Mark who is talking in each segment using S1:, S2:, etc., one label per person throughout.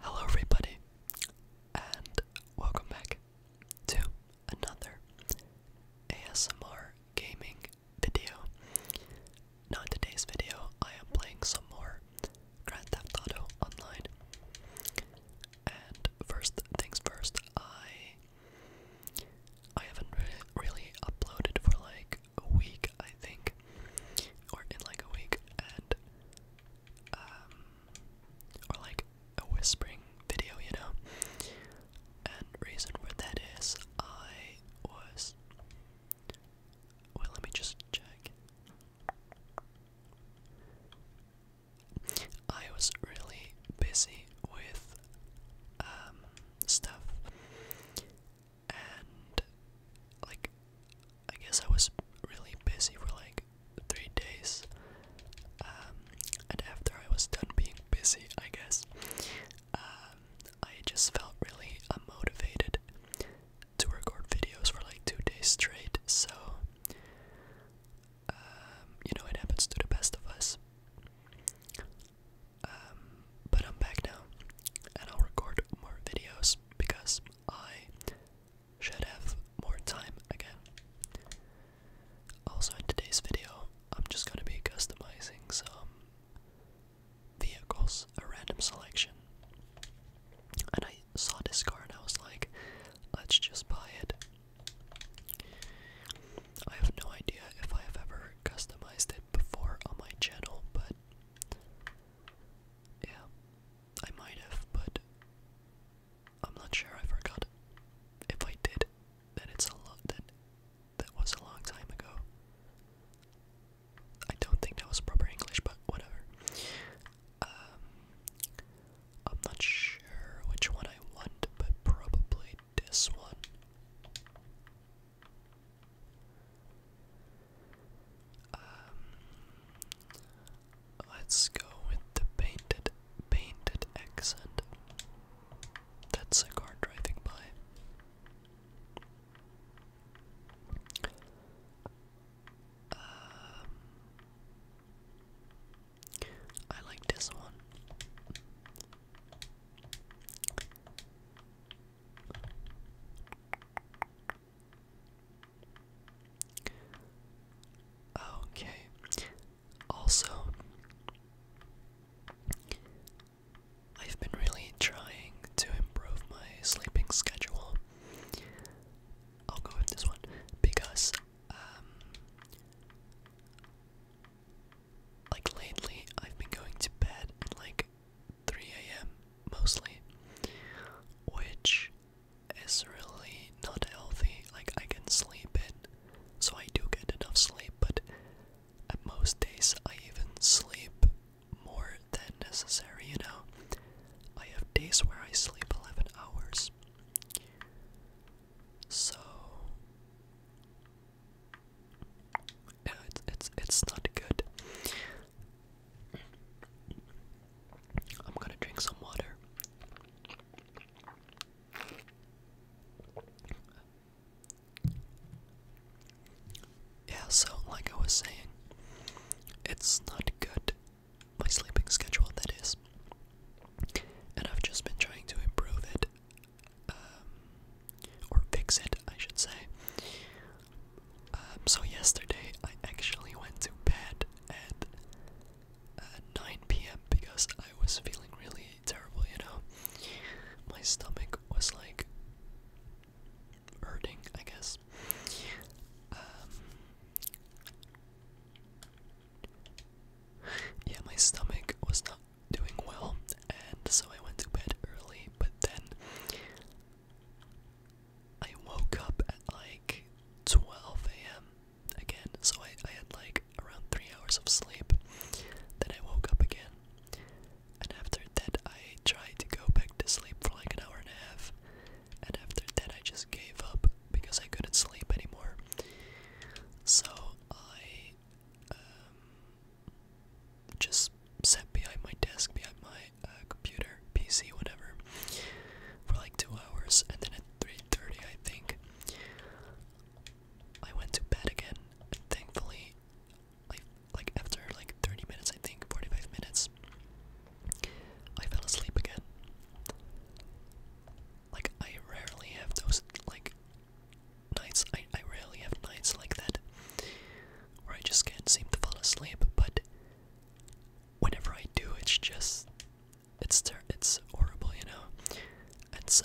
S1: Hello, everybody, and welcome back to another ASMR gaming video. Now, in today's video, I am playing some more Grand Theft Auto Online. And first things first, I I haven't really, uploaded for like a week, I think, or in like a week, and um, or like a whispering video, you know. And reason for that is I was. Well, let me just check. I was really busy with um, stuff, and like I guess I was really busy for like three days. Um, and after I was done being busy, I guess, um, I just felt really unmotivated to record videos for like two days straight. So, um, you know, it happens to the best of us. Um, but I'm back now, and I'll record more videos because I should have more time again. Also, in today's video, I'm just going to be customizing some vehicles, a random selection. And I saw this car and I was like, let's just buy it. I have no idea if I have ever customized it before on my channel, but yeah, I might have, but I'm not sure. I forgot. If I did, then it's a That that was a long time ago. I don't think that was proper English, but whatever. Um, I'm not sure which one I want, but probably this one. Um, let's go with the painted painted accent. That's a car driving by. Um, I like this one. Okay. Also, I've been really trying to improve my sleeping schedule. I'll go with this one because um, like lately I've been going to bed at like 3 a.m. mostly, which is really not healthy. Like, I can sleep in, so I do get enough sleep, but at most days I even sleep more than necessary, you know? I have days where I sleep 11 hours. So, yeah, it's it's it's not good. I'm gonna drink some water. Yeah, so like I was saying, it's not good. My sleeping schedule, that is. And I've just been trying to improve it um, or fix it, I should say. Um, so yesterday I actually went to bed at uh, 9 p.m. because I was feeling really terrible, you know. My stomach was like hurting, I guess. Um, yeah, my stomach was not doing well, and so I went to bed early, but then I woke up at like 12 a.m. again, so I, I had like around 3 hours of sleep. Then I woke up again, and after that, I tried to go back to sleep for like an hour and a half, and after that, I just gave up because I couldn't sleep anymore. So I um, just set behind my desk, behind my uh, computer, PC, whatever, for like two hours, and then at 3:30, I think, I went to bed again, and thankfully, like after like 30 minutes, I think 45 minutes, I fell asleep again. Like I rarely have those like nights. I, I rarely have nights like that where I just can't seem to fall asleep, but whenever I do, it's just. It's, it's horrible, you know? And so,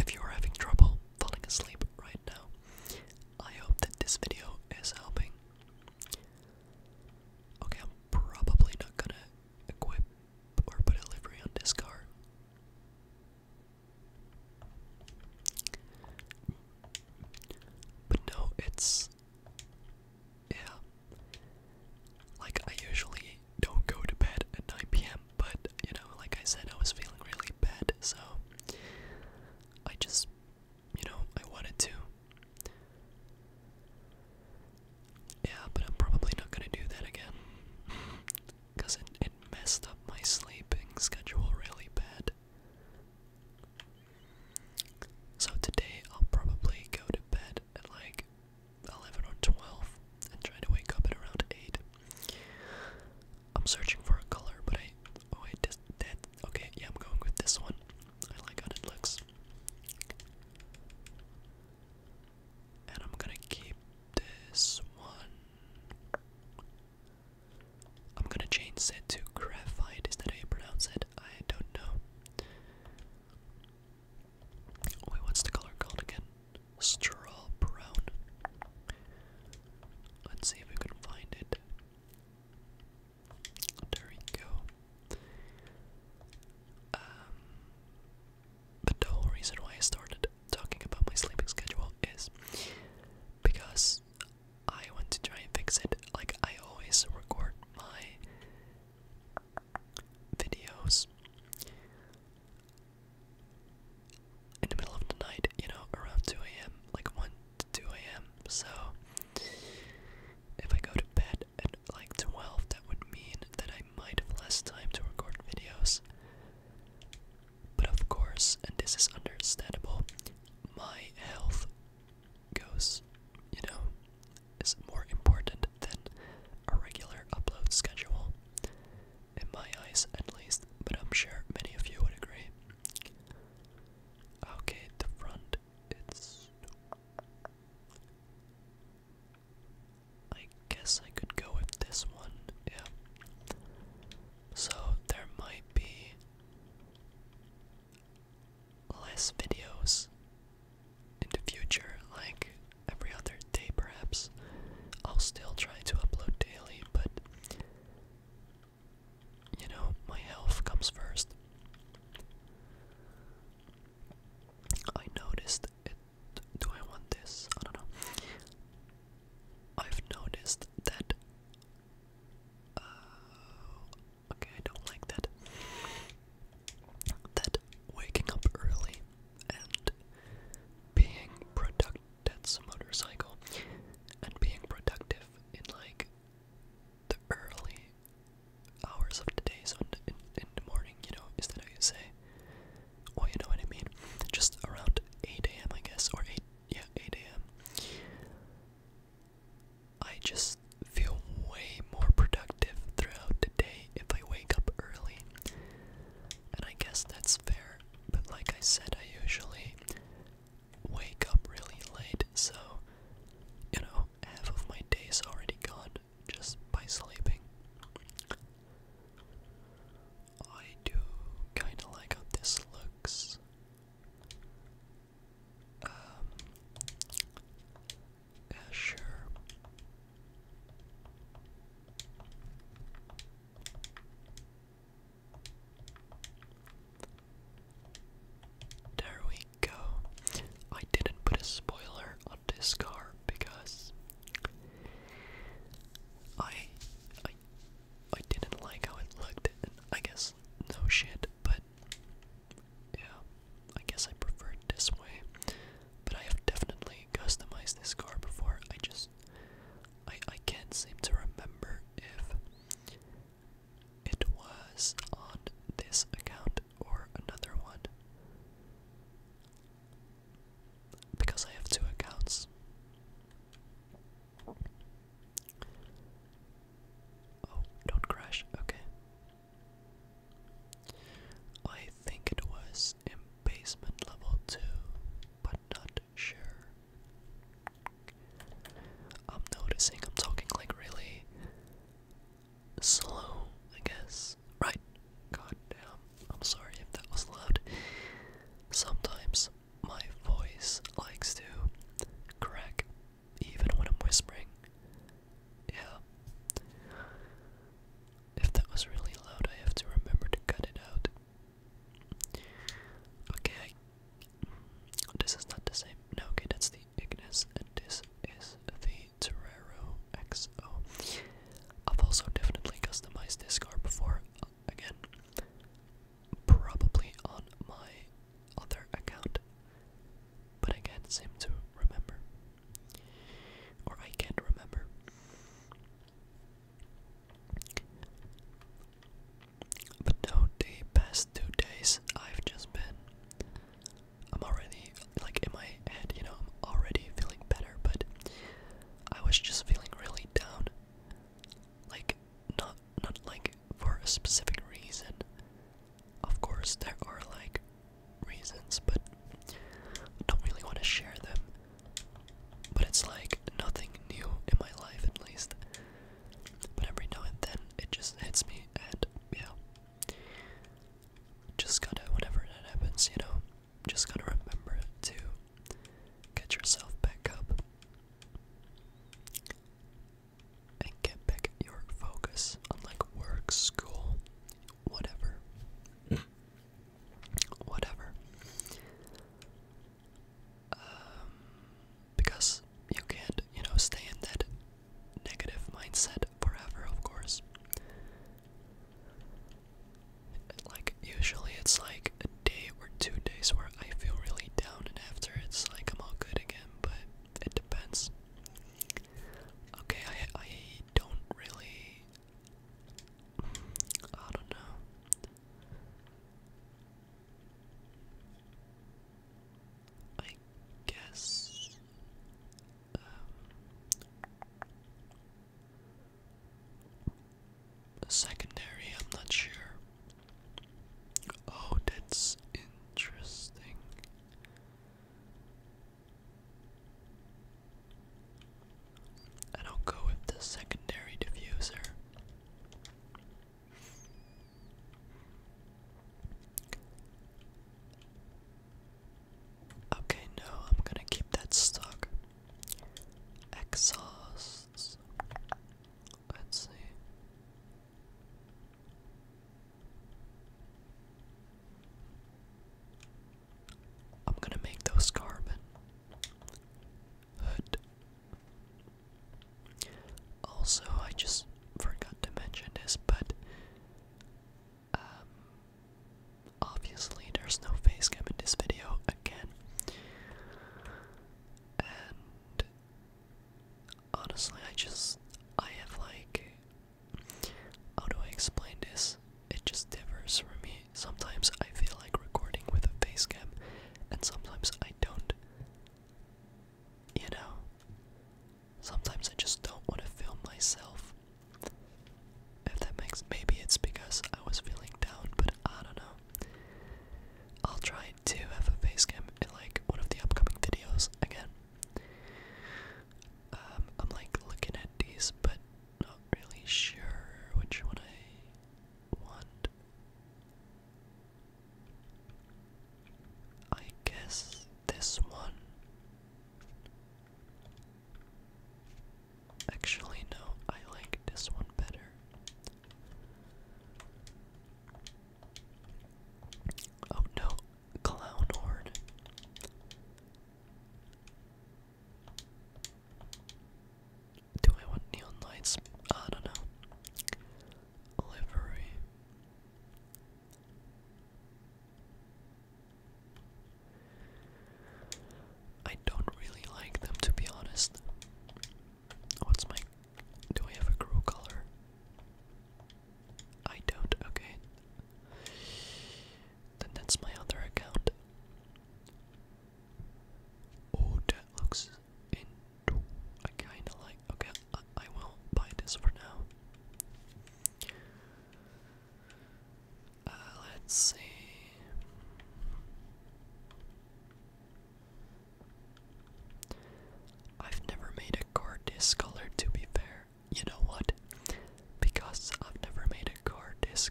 S1: if you're having trouble falling asleep right now, I hope that this video is helping. Okay, I'm probably not gonna equip or put a livery on discard. But no, it's yeah. Like I usually don't go to bed at 9 p.m. But you know, like I said, I was feeling really bad, so I just, you know, I wanted to. Yeah, but I'm probably not gonna do that again. Because it, it messed up my sleeping schedule really bad. So today I'll probably go to bed at like 11 or 12 and try to wake up at around 8. I'm searching for a color, but I. Oh, wait, this, that. Okay, yeah, I'm going with this one. I like how it looks. And I'm gonna keep this one. I'm gonna change it to graphite. Is that how you pronounce it? I don't know. Oh, wait, what's the color called again? Straw brown. Let's see if we can find it. There we go. Um, the whole reason why I started talking about my sleeping schedule is because I want to try and fix it. Like, I always record my videos in the middle of the night, you know, around 2 a.m., like 1 to 2 a.m. So, if I go to bed at like 12, that would mean that I might have less time to record videos. But of course, and this is understandable, my health goes, you know, is more important than a regular upload schedule. In my eyes, at least, but I'm sure many of you would agree. Okay, the front, it's. I guess I could go with this one, yeah. So there might be less videos in the future, like every other day perhaps. I'll still try to upload daily, but you know, my health comes first. I noticed it. Do I want this? I don't know. I've noticed that. Uh, okay, I don't like that. That waking up early and being productive. That's a motorcycle. And being productive in like the early hours of the day, so in the, in, the morning, you know, is that how you say? Well, you know what I mean? Just around 8 a.m., I guess, or 8, yeah, 8 a.m. I just feel way more productive throughout the day if I wake up early. And I guess that's fair, but like I said, I usually wake up really late, so, you know, half of my day is already gone just by sleeping. I do kinda like how this looks. Um, yeah, sure. There we go. I didn't put a spoiler on this car because I I I didn't like how it looked I guess no shit, but yeah, I guess I prefer it this way. But I have definitely customized this car before. I just I I can't seem to remember if it was on this account or another one. Because I have two accounts. Oh, don't crash. Okay. I think it was basement level 2, but not sure. I'm noticing I'm talking like really slow, I guess. Right. God damn. I'm sorry if that was loud. Sometimes my voice likes to crack even when I'm whispering. Yeah. If that was really loud, I have to remember to cut it out. Okay, this is not the same. No, okay, that's the Ignis, and this is the Terrero XO. I've also definitely customized this car before, again, probably on my other account, but I can't seem to remember. Or I can't remember. But no, the past two days I've just been I'm already like in my head, you know, I'm already feeling better, but I was just feeling really down. Like not not like for a specific reason. Of course there are like reasons, but I don't really want to share them. But it's like nothing new in my life at least. But every now and then it just hits me, and yeah, just gotta whenever that happens, you know, just gotta remember to get yourself back up and get back your focus on like work, school, whatever, whatever. Um, because you can't, you know, stay in that negative mindset forever, of course. Like, usually it's like a day or two days where I feel really down, and after it's like I'm all good again, but it depends. Okay, I, I don't really. I don't know. I guess. Um, secondary, I'm not sure. Oh, that's interesting. I'll go with the secondary diffuser. Okay, no, I'm gonna keep that stuck exhaust. Let's see. I'm gonna make those carbon. Hood. Also, I just forgot to mention this, but um, obviously there's no face cam in this video again. And honestly, I just I have like how do I explain this? It just differs for me. Sometimes I feel like recording with a face cam, and sometimes I don't. You know? Sometimes I just don't want to film myself. If that makes maybe it's because I was feeling down, but I don't know. I'll try to have a facecam in like one of the upcoming videos again. Um, I'm like looking at these, but not really sure which one I want. I guess this one. Actually, no, I like this one better. Oh no, clown horn. Do I want neon lights? I don't know. Livery. I don't really like them to be honest. What's my. Do I have a crew color? I don't, okay. Then that's my other account. Oh, that looks in. I kind of like. Okay, I, will buy this for now. Uh, let's see. I've never made a card this to be fair. You know what? Because I've never made a card this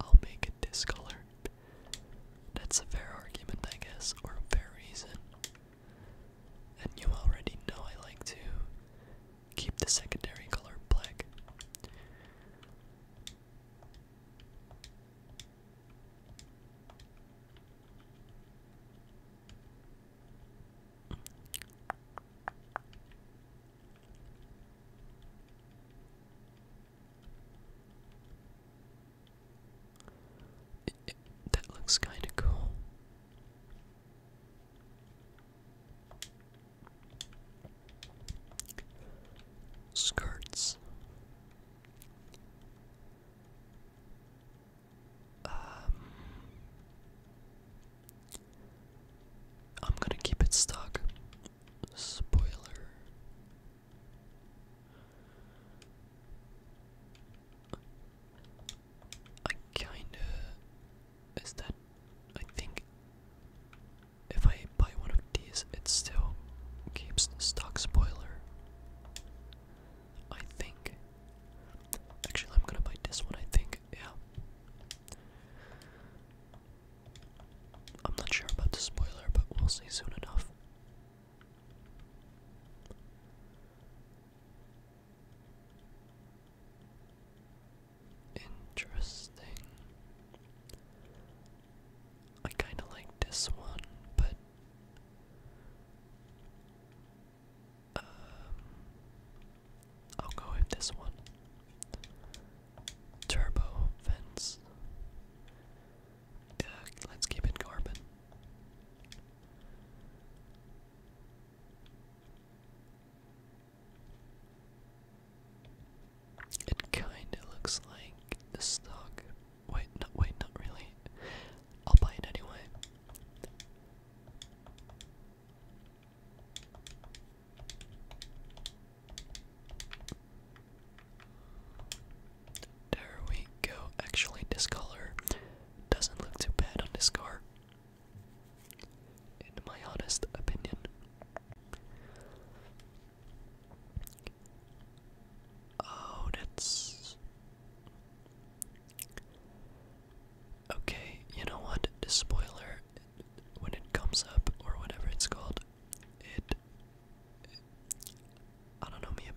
S1: I'll make it this color. That's a fair argument, I guess, or a fair reason. And you already know I like to keep the secondary color black that looks kinda cool. Skirts. Um, I'm gonna keep it stuck. Spoiler I kinda. Is that. I think. If I buy one of these, it still keeps stock spoiler. I think. Actually, I'm gonna buy this one, I think. Yeah. I'm not sure about the spoiler, but we'll see soon enough. Interesting. I kind of like this one, but um, I'll go with this one turbo vents. let's keep it carbon. It kinda looks like the stock. Wait, no, wait, not really. I'll buy it anyway. There we go. Actually, this color doesn't look too bad on this car. In my honest opinion. Oh, that's. Okay, you know what? The spoiler, when it comes up, or whatever it's called, it, I don't know, maybe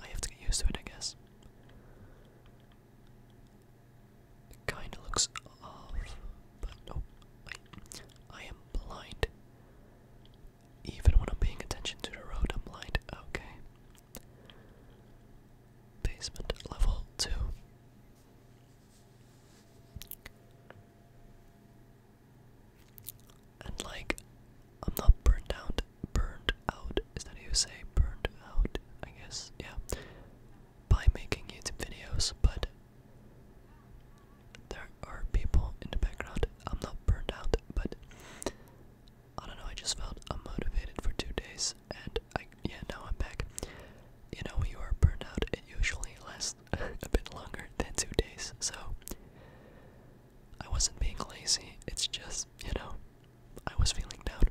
S1: I have to get used to it, I guess. kinda looks off, but nope. I am blind. Even when I'm paying attention to the road, I'm blind. Okay. Basement level 2. And like, I'm not burned out. Burned out. Is that how you say burned out? I guess, yeah. By making YouTube videos, but there are people in the background. I'm not burned out, but I don't know. I just felt unmotivated for two days, and I yeah now I'm back. You know, when you are burned out, it usually lasts was a bit longer than two days, so I wasn't being lazy. It's just, you know, I was feeling down,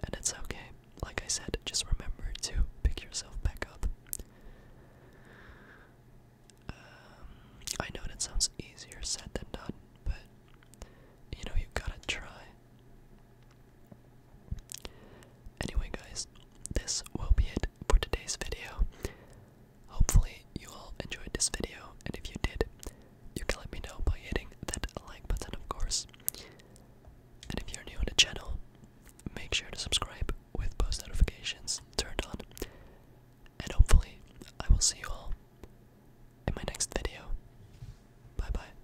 S1: and it's okay. Like I said, just remember to pick yourself back up. Um, I know that sounds easier said than done, but you know, you gotta try. Anyway, guys, this will be it for today's video. Hopefully, you all enjoyed this video, and if you did, you can let me know by hitting that like button, of course. And if you're new on the channel, make sure to subscribe with post notifications turned on. And hopefully, I will see you all in my next video. Bye bye.